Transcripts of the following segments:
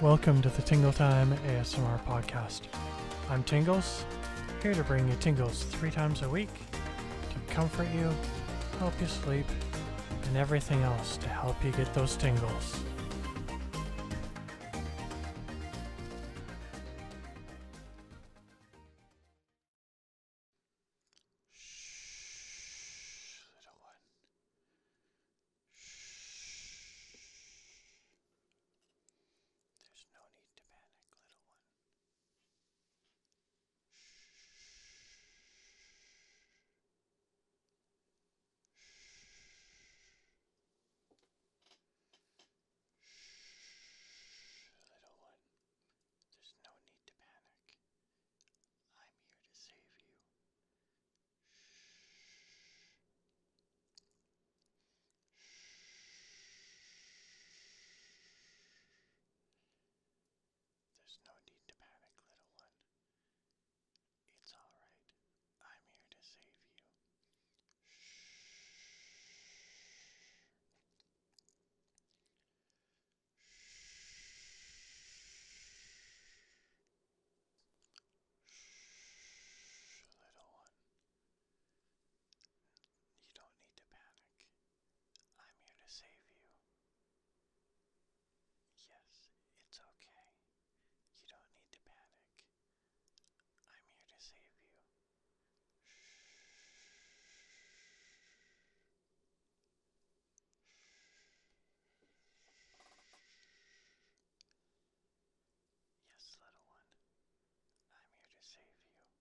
Welcome to the Tingle Time ASMR podcast. I'm Tingles, here to bring you tingles three times a week to comfort you, help you sleep, and everything else to help you get those tingles. Shh, little one. Shh. There's no need to panic, little one. Shh. Shh, little one. There's no need to panic. I'm here to save you. Shh. Shh. There's no need to panic, little one. It's alright. I'm here to save you. Shh. Shh, little one. You don't need to panic. I'm here to save you. Yes, it's okay. You don't need to panic. I'm here to save you. Shh. Yes, little one, I'm here to save you. You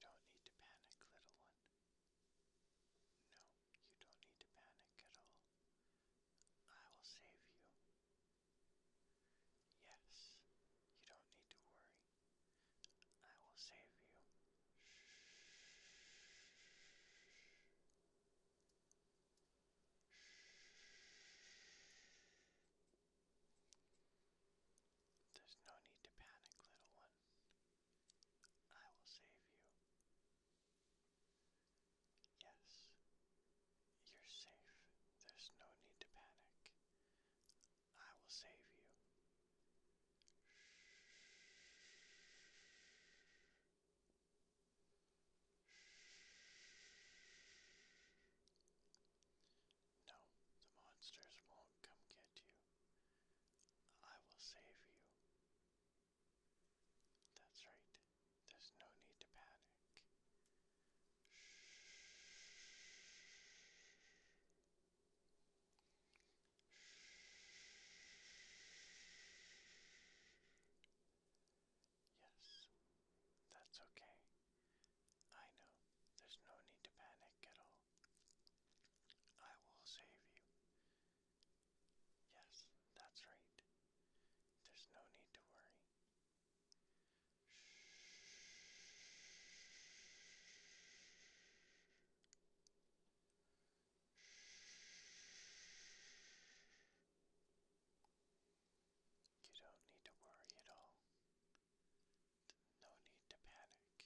don't need to panic, little one. No, you don't need to panic at all. I will save you. Yes, you don't need to worry. I will save you. There's no need to panic, little one. I will save you. Yes, you're safe. There's no need to panic. I will save you. No, the monsters won't come get you. I will save you. That's right. There's no need to panic. Yes, that's okay. I know there's no need to panic at all. I will save you. Yes, that's right. There's no need to worry. You don't need to worry at all. No need to panic.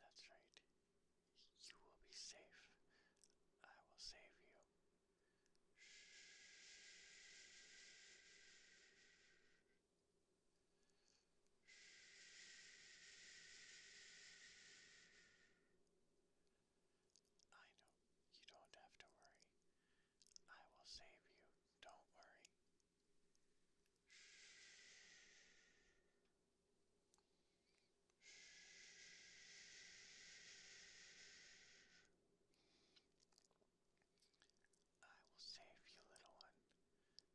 That's right. You will be safe. I will save you. I know you don't have to worry. I will save you. Don't worry. I will save you, little one.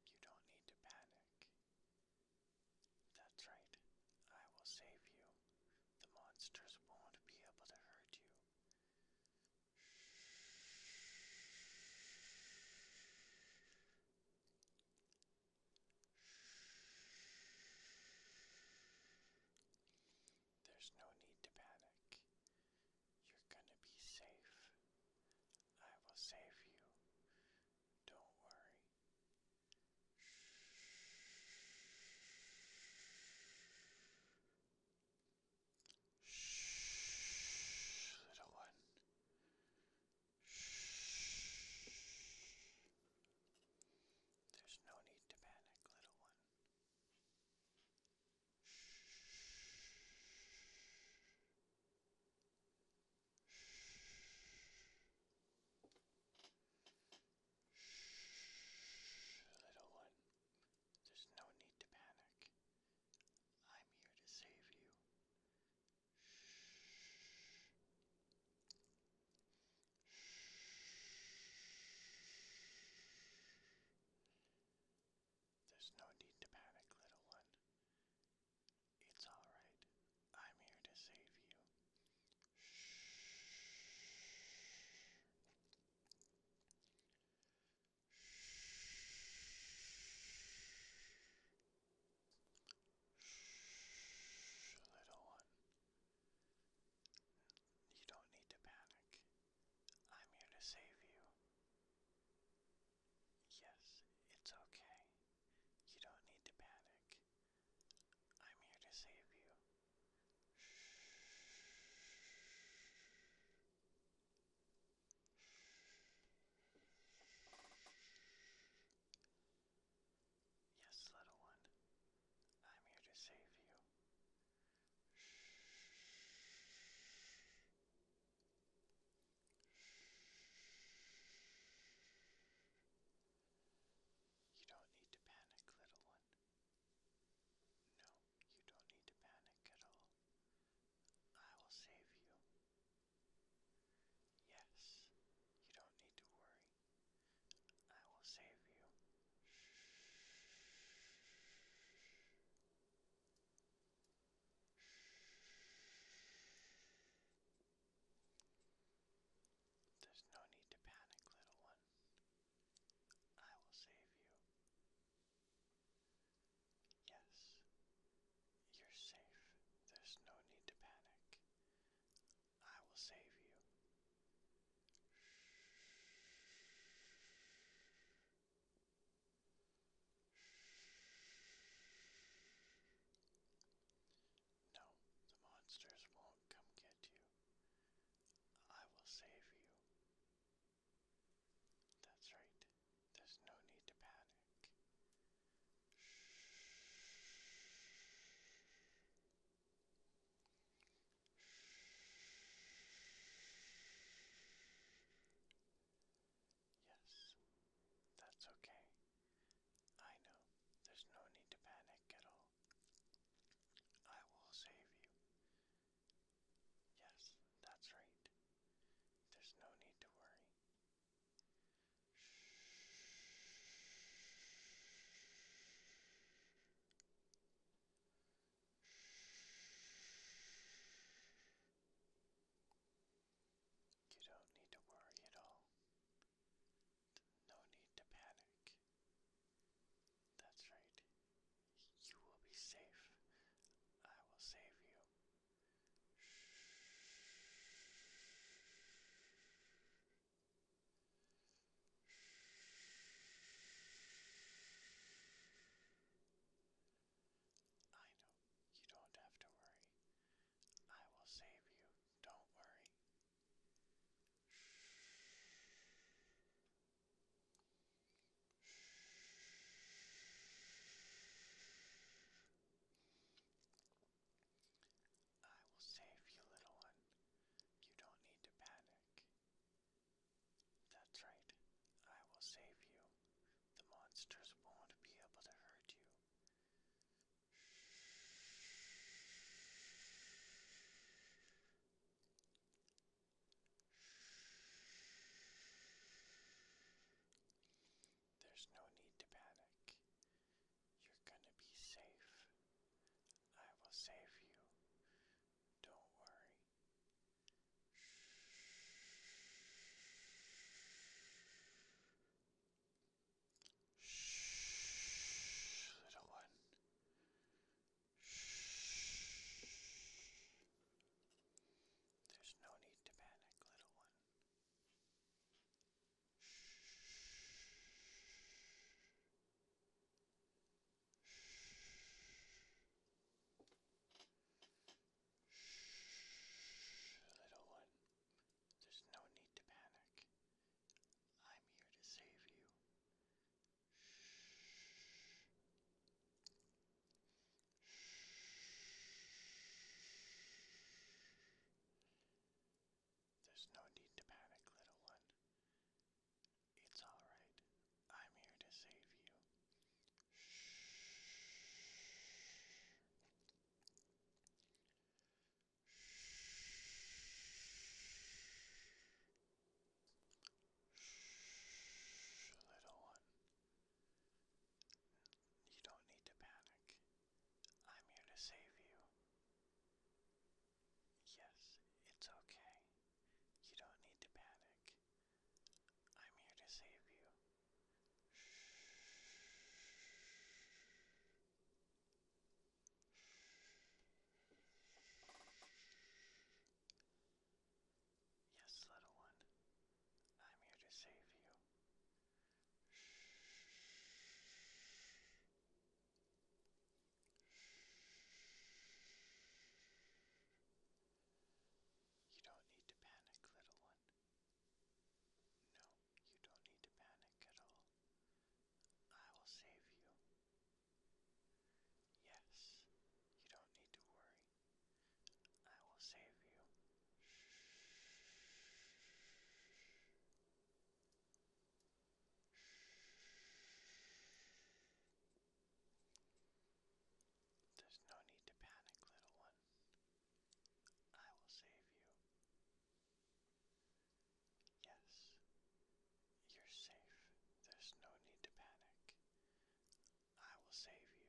You don't need to panic. That's right. I will save you. The monsters won't be able to hurt you. There's no need to panic. You're gonna be safe. I will save you. Don't worry. Shh. Shh, little one. Shh. There's no need to panic, little one. Shh, little one. There's no need to panic. I'm here to save you. Shh. There's no need to panic, little one. It's alright. I'm here to save you. Shh, little one. You don't need to panic. I'm here to save you. Yes, it's okay. You don't need to panic. I'm here to save you. Yes, little one, I'm here to save you. Shh. Shh. You don't need to panic, little one. No, you don't need to panic at all. I will save you. Yes, you don't need to worry. I will save you. There's no need to panic, little one. I will save you. Yes, you're safe. There's no need to panic. I will save you. No, the monsters won't come get you. I will save you. That's right, there's no need to panic. Yes, that's okay. I know there's no need to panic at all. I will save you. Yes, that's right. There's no need to worry. You don't need to worry at all. No need to panic. That's right. You will be safe. I will save you. I know. You don't have to worry. I will save you. Don't worry. I will save you, little one. You don't need to panic. That's right. I will save you. The monsters won't be able to hurt you. There's no need to panic. You're gonna be safe. I will save you. Don't worry. Shh. Shh, little one. Shh. There's no need to panic, little one. Shh. Shh, little one. There's no need to panic. I'm here to save you. Shh. Shh. There's no need to panic, little one. It's alright. I'm here to save you. Shh. Shh. Shh, little one. You don't need to panic. I'm here to save you. Yes, it's okay. You don't need to panic. I'm here to save you. Shh. Yes, little one. I'm here to save you. Shh. You don't need to panic, little one. No, you don't need to panic at all. I will save you. Yes, you don't need to worry. I will save you. There's no need to panic, little one. I will save you. Yes, you're safe. There's no need to panic. I will save you.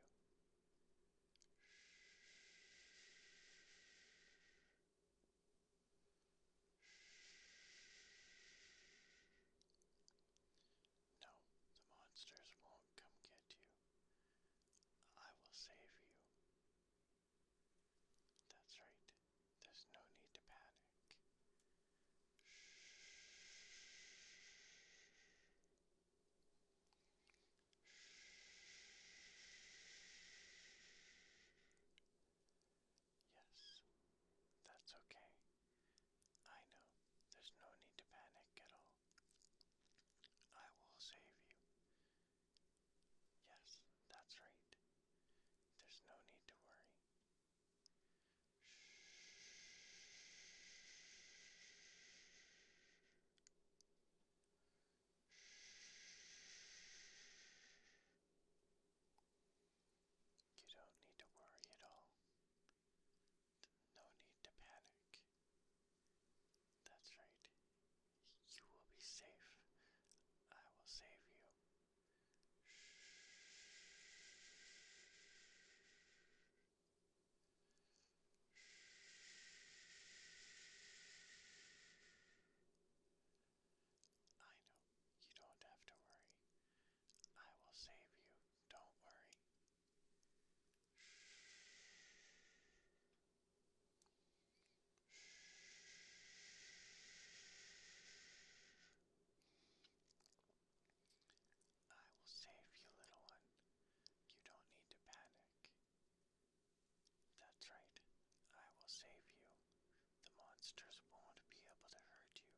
No, the monsters won't come get you. I will save you. That's right. There's no need to panic. Yes, that's okay. I know there's no need to panic at all. I will save you. Yes, that's right. There's no need to worry. You don't need to worry at all. No need to panic. That's right. You will be safe. I will save you. I know you don't have to worry. I will save you. Don't worry. I will save you, little one. You don't need to panic. That's right. I will save you. The monsters won't be able to hurt you.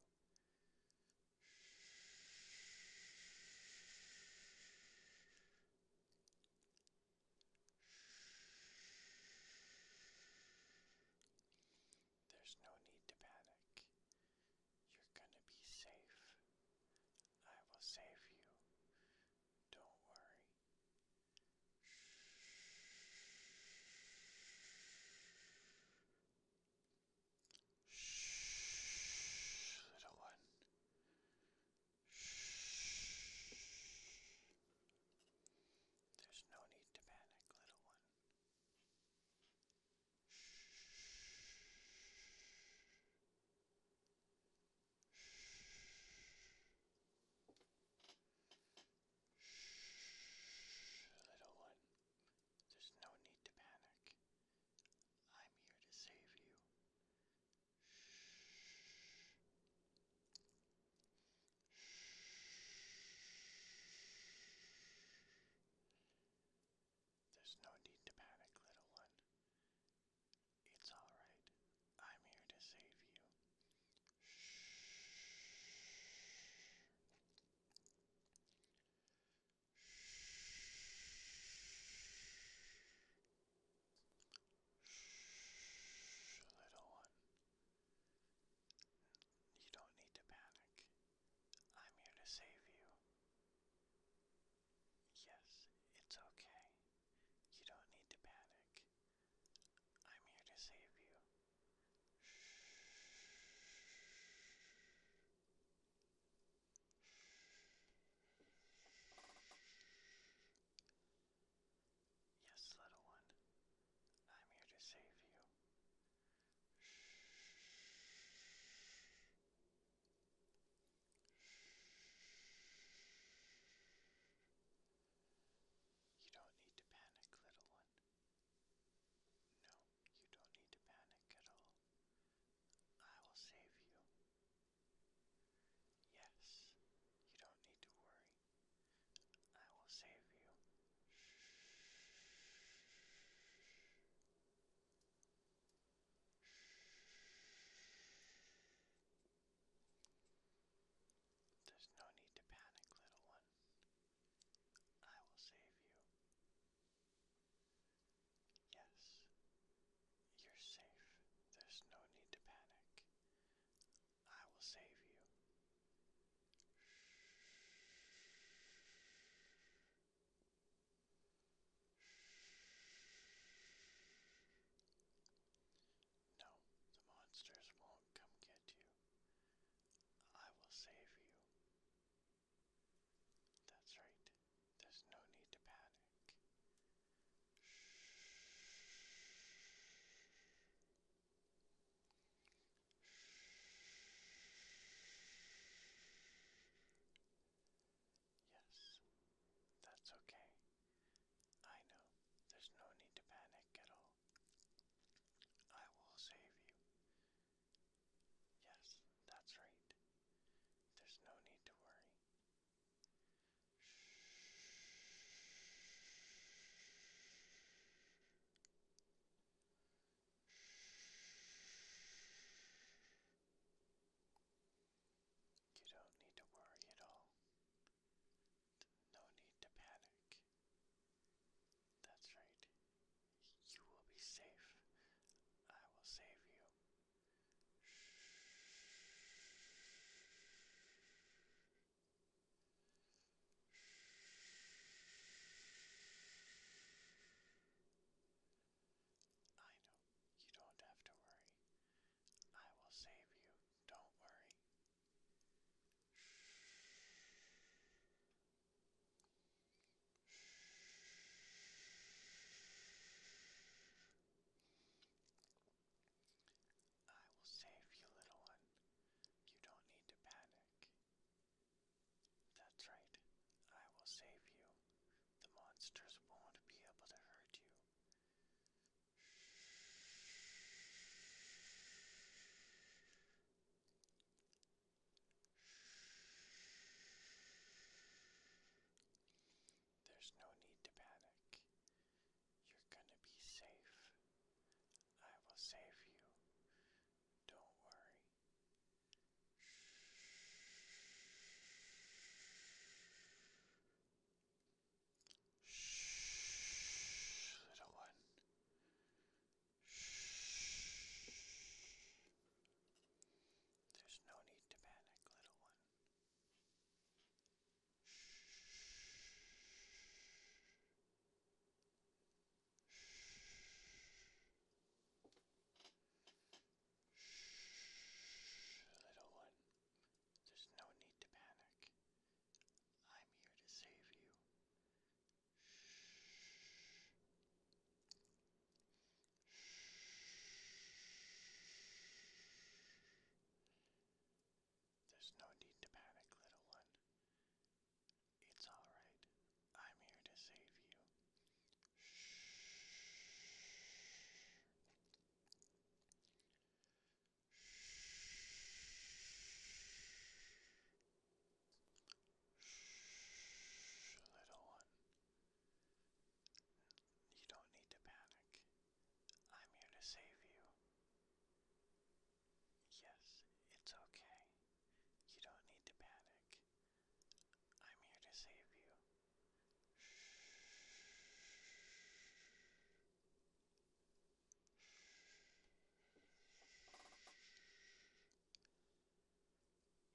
There's no need to panic. You're gonna be safe. I will save you. Don't worry. Shh, little one. Shh. There's no need to panic, little one. Shh. Shh. Shh, little one. There's no need to panic. I'm here to save you. There's no need to panic, little one. It's alright. I'm here to save you. Shh, little one. You don't need to panic. I'm here to save you. Yes, it's okay. You don't need to panic. I'm here to save you. Yes, little one, I'm here to save you. You don't need to panic, little one. No, you don't need to panic at all. I will save you. Yes, you don't need to worry. I will save you. Shh. Shh. There's no need to panic, little one. I will save you. Yes, you're safe. There's no need to panic. I will save you. No, the monsters won't come get you. I will save you. That's right. There's no need to panic. Yes, that's okay. I know there's no need to panic at all. I will save you. Yes, that's right. There's no need to worry. You don't need to worry at all. No need to panic. That's right. You will be safe. I will save you. I know. You don't have to worry. I will save you. Don't worry. I will save you, little one. You don't need to panic. That's right. I will save you. The monsters won't be able to hurt you. There's no need to panic. You're gonna be safe. I will save you. Don't worry. Shh, little one. Shh. There's no need to panic, little one. Shh. Shh, little one. There's no need to panic. I'm here to save you. There's no need to panic, little one. It's all right. I'm here to save you. Shh, little one. You don't need to panic. I'm here to save you. Yes, it's okay. You don't need to panic. I'm here to save you. Shh.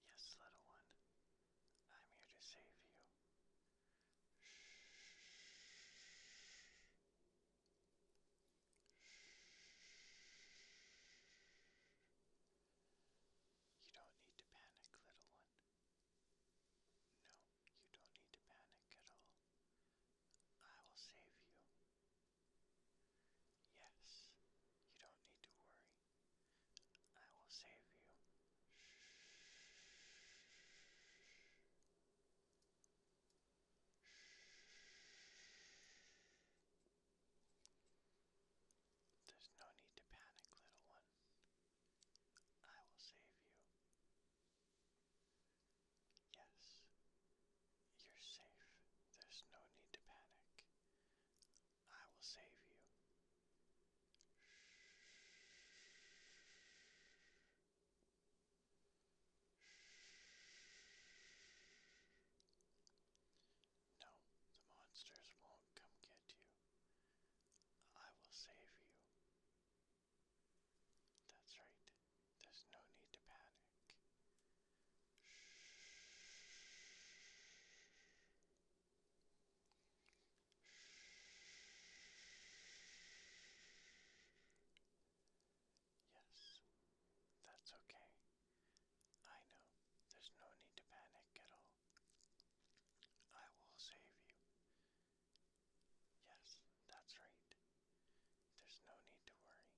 Yes, little one, I'm here to save you. Shh. Shh. You don't need to panic, little one. No, you don't need to panic at all. I will save you. Yes, you don't need to worry. I will save you. There's no need to panic, little one. I will save you. Yes, you're safe. There's no need to panic. I will save you. No, the monsters won't come get you. I will save you. That's right. There's no need to panic neck. Yes, that's okay. I know there's no need to panic at all. I will save you. Yes, that's right. There's no need to worry.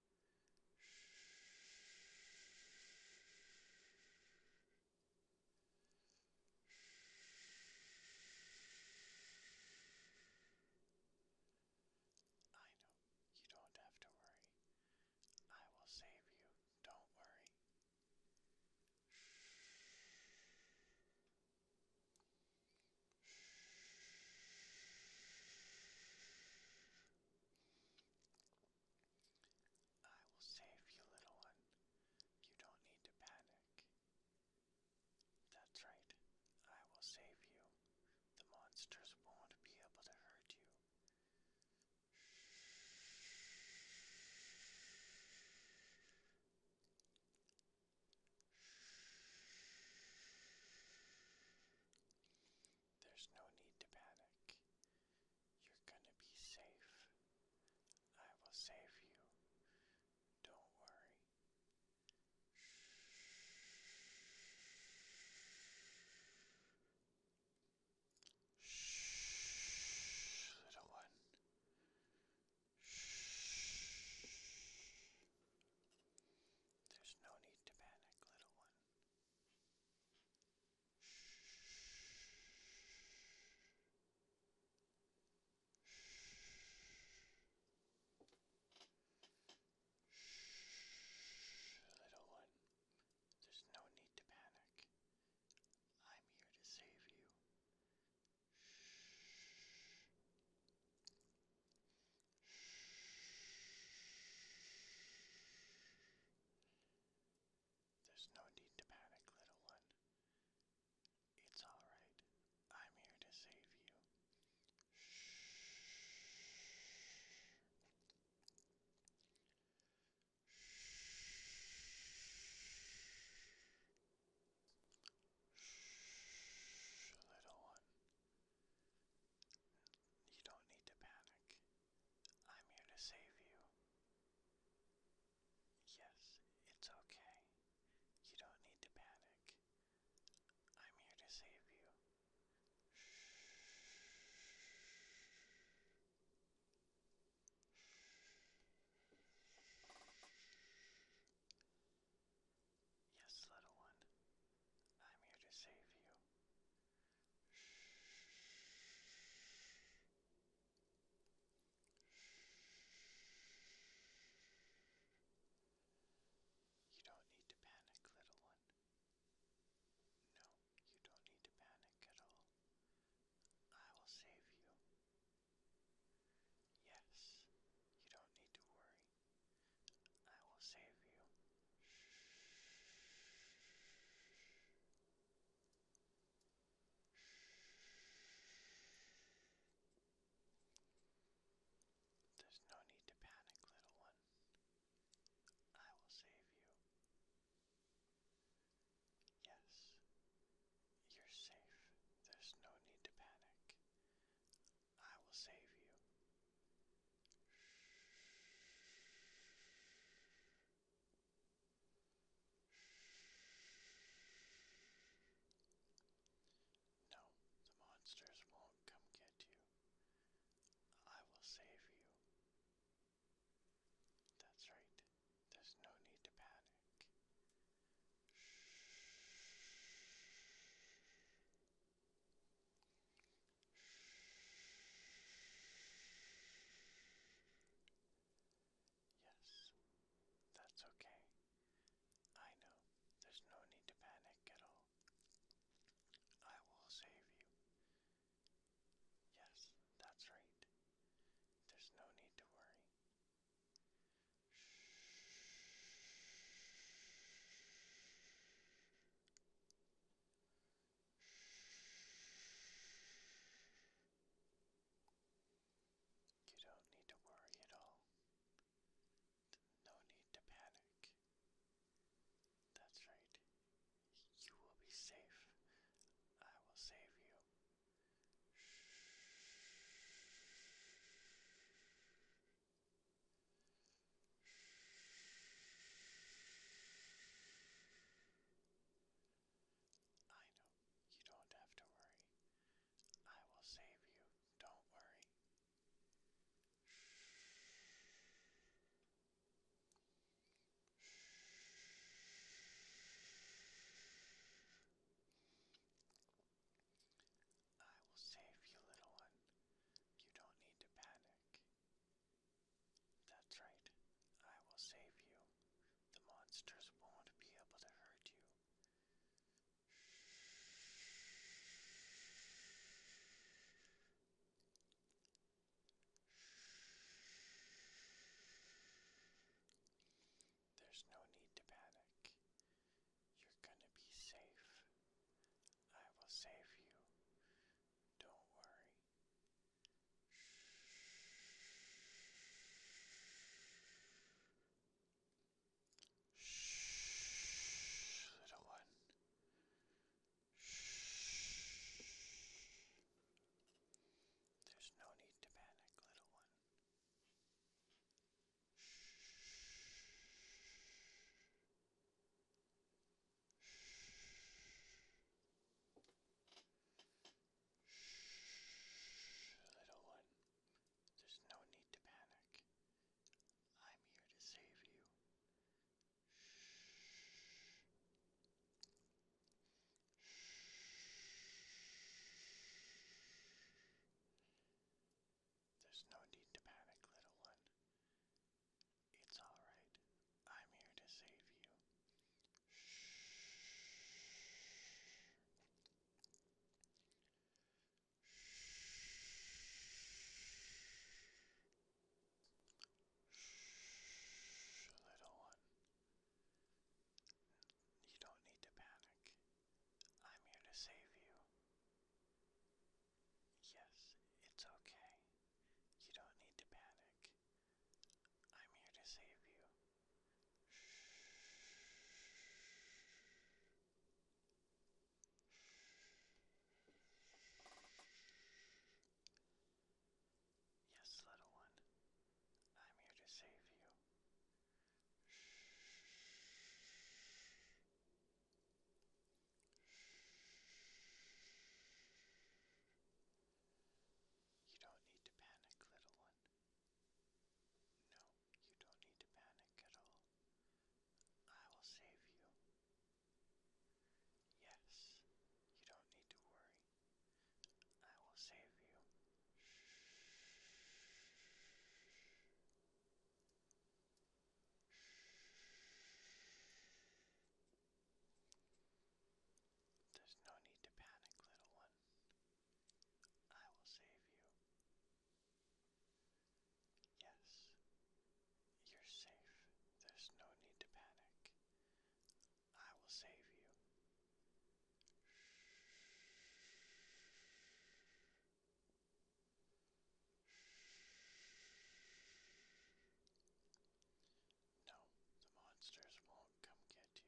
I know you don't have to worry. I will save you. Don't worry. I will save you, little one. You don't need to panic. That's right. I will save you. The monsters won't be able to hurt you. There's no need to panic. You're gonna be safe. I will save you. Don't worry. Shh. Shh, little one. Shh. There's no need to panic, little one. Little one, there's no need to panic. I'm here to save you. There's no need to panic, little one. It's alright. I'm here to save you. Shh. Shh. Shh, little one. You don't need to panic. I'm here to save you. Yes, it's okay. You don't need to panic. I'm here to save you. Shh. Yes, little one. I'm here to save you. You don't need to panic, little one. No, you don't need to panic at all. I will save you. Yes, you don't need to worry. I will save you. There's no need to panic, little one. I will save you. Yes, you're safe. There's no need to panic. I will save you. No, the monsters won't come get you. I will save you. That's right. There's no need to panic. Yes, that's okay. I know there's no need to panic at all. I will save you. Yes, that's right. There's no need to worry. You don't need to worry at all. No need to panic. That's right. You will be safe. I will save you. I know. You don't have to worry. I will save you. Don't worry. I will save you, little one. You don't need to panic. That's right. I will save you. The monsters won't be able to hurt you. There's no need to panic. You're gonna be safe. I will save you. Don't worry. Shh, little one. Shh. There's no need to panic, little one. Shh. Shh, little one. There's no need to panic. I'm here to save you. Shh. Shh. There's no need to panic, little one. It's alright. I'm here to save you. Shh. Shh. Shh, little one. You don't need to panic. I'm here to save you. Yes, it's okay. You don't need to panic. I'm here to save you. Shh. Yes, little one, I'm here to save you. You don't need to panic, little one. No, you don't need to panic at all. I will save you. Yes, you don't need to worry. I will save you. Shh. Shh. There's no need to panic, little one. I will save you. Yes, you're safe. There's no need to panic. I will save you. No, the monsters won't come get you.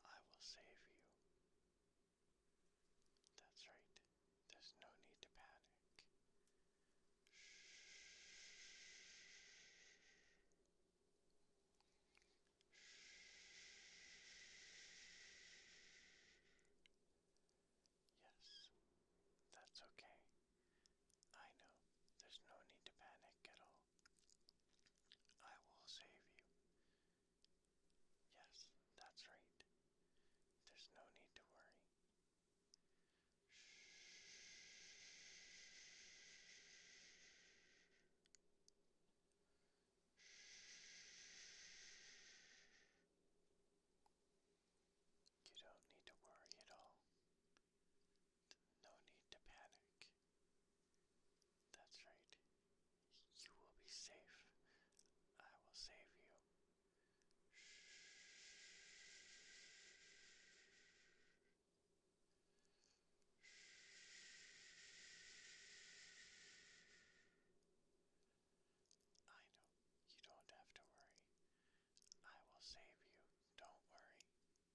I will save you. That's right. There's no need to panic. Shh. Shh. Yes, that's okay. I know, there's no need to panic at all. I will save you. Yes, that's right. There's no need to worry. You don't need to worry at all. No need to panic. That's right. You will be safe. I will save you. I know. You don't have to worry. I will save you. Don't worry. I will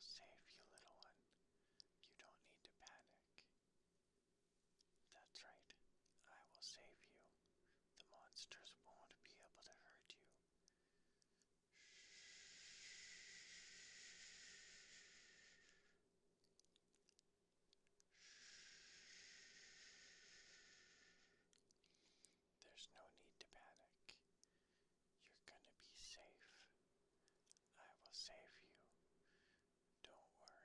save you, little one. You don't need to panic. That's right. I will save you. The monsters won't be able to hurt you. There's no need to panic. You're gonna be safe. I will save you. Don't worry.